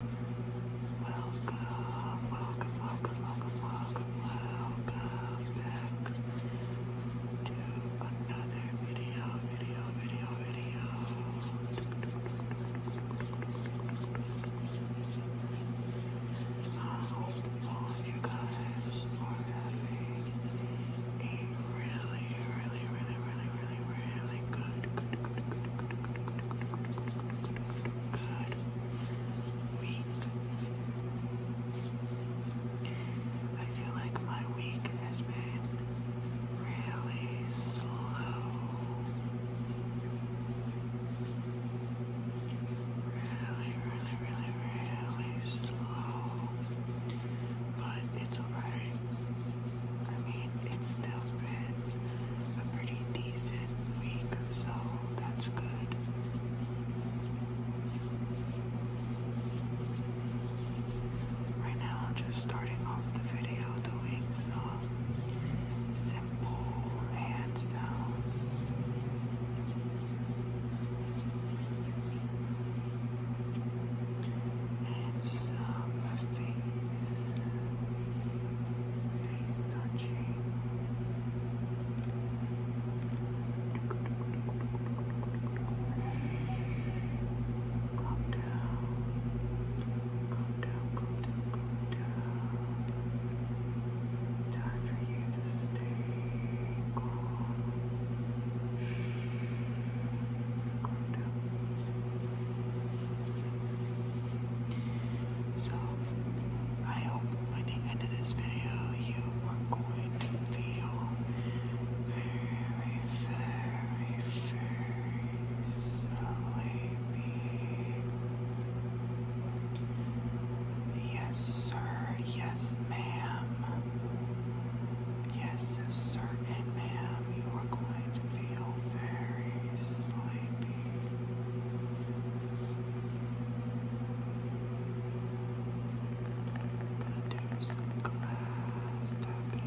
Welcome, welcome, welcome, welcome, welcome, welcome back to another video, video, video, video. I hope you guys are having a really, really, really, really, really, really good, I feel like my week has been really slow. Really, really, really, really slow. But it's alright it's still been a pretty decent week, so that's good. Right now, I'm just starting off the video doing some simple hand sounds. And some face face touching. Calm down. Calm down, calm down, Time for you to stay calm. Calm down. So, I hope by the end of this video you are going to feel very, very, very sleepy. Yes, sir. Yes, ma'am. Yes, sir and ma'am, you are going to feel very sleepy. I'm gonna do some glass tapping.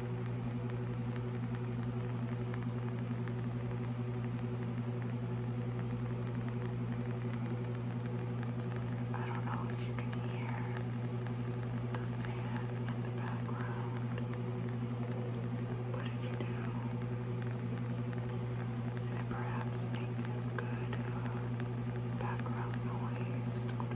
I don't know if you can hear the fan in the background, but if you do, it perhaps makes good uh, background noise to go to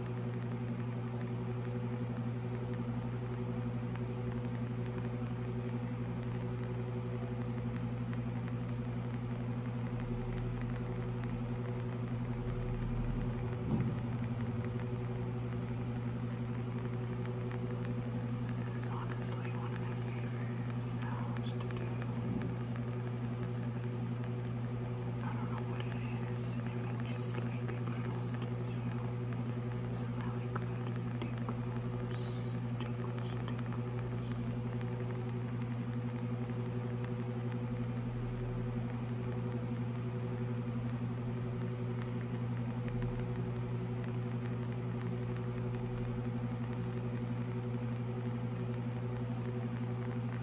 This is honestly one of my favorite sounds to do. I don't know what it is. It makes you sleepy, but it also gives you some really good tingles, tingles,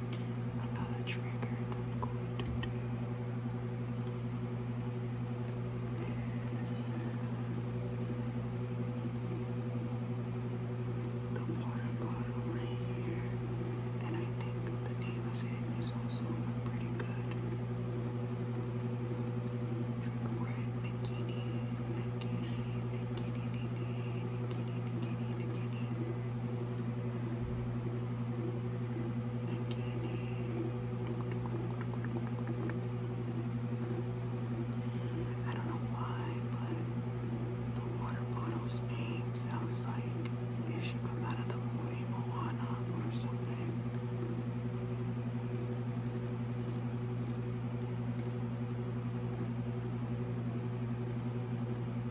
another trigger I'm going to do is the water bottle right here, and I think the name of it is also pretty good. We're in Nikini, Nikini, Nikini, Nikini. I don't know why, but the water bottle's name sounds like it should come out of the movie Moana or something.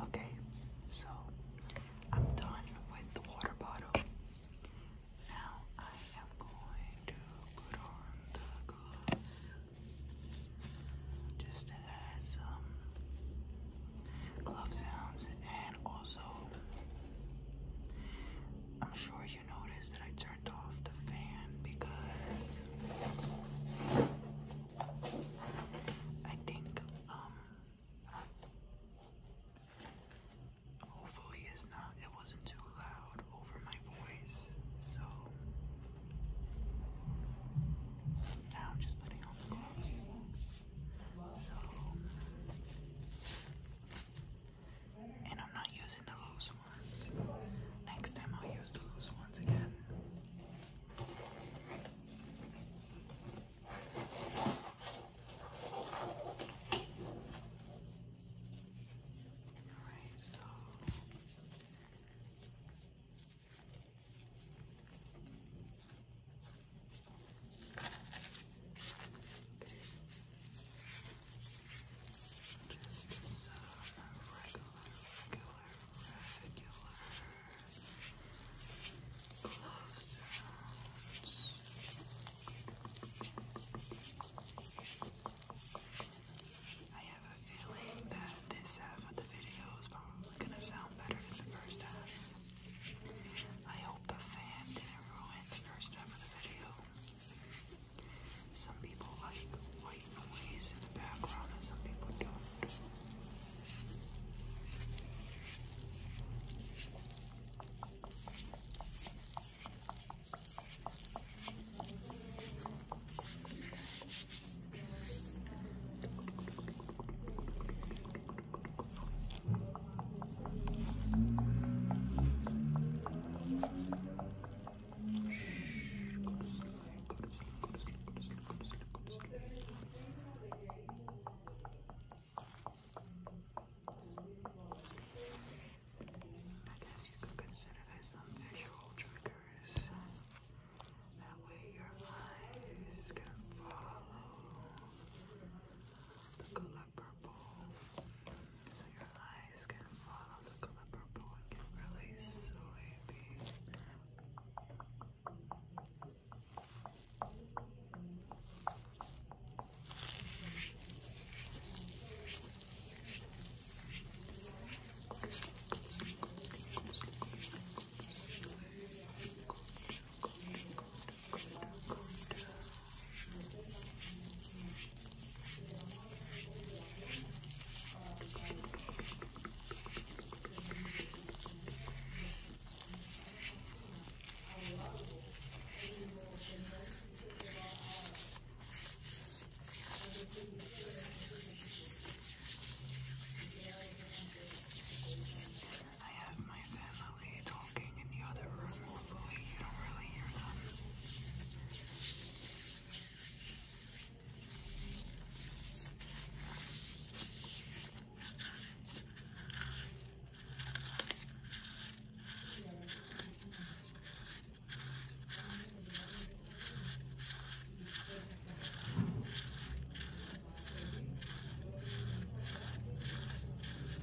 Okay, so I'm done with the water bottle. Now I am going to put on the gloves just to add some glove sounds and also I'm sure you notice that I turned off the fan because I think um, hopefully it's not it wasn't too loud over my voice so now I'm just putting on the gloves so and I'm not using the loose ones. Next time I'll use the loose ones again. Alright, just a regular, regular, regular close I have a feeling that this half of the video is probably gonna sound better than the first half. I hope the fan didn't ruin the first half of the video. Some people like white noise in the background and some people don't. I guess you could consider that some visual triggers. That way your eyes can follow the color purple so your eyes can follow the color purple and get really sleepy. I have my family talking talking in the other room. Hopefully, you don't really hear them.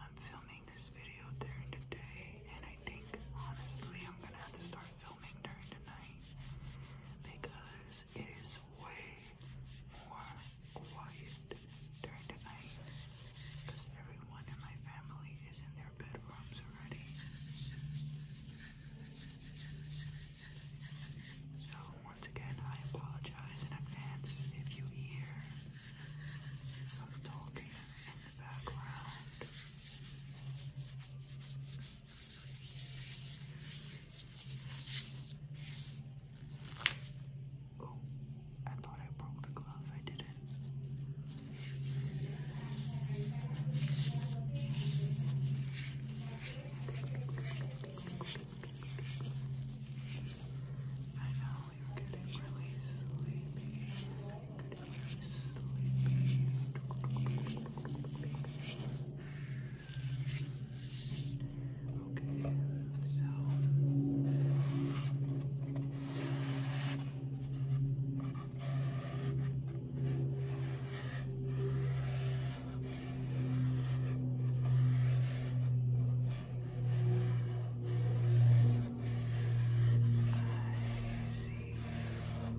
I'm filming this video during the day, and I think honestly I'm gonna have to start filming during the night because it is way more quiet during the night because everyone in my family is in their bedrooms already. So, once again, I apologize in advance if you hear some talking in the background. Oh, I thought I broke the glove. I didn't. I know you're getting really sleepy. Getting really sleepy. Okay, so I I see Falling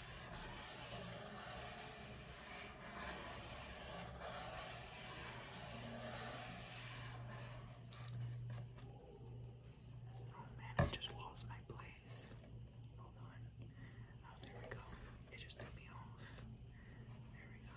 Oh man, I just lost my place. Hold on. Oh, there we go. It just threw me off. There we go.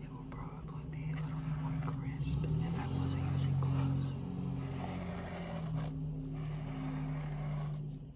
It will probably be a little bit more crisp if I wasn't using gloves.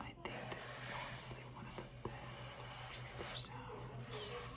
I think this is honestly one of the best trigger sounds.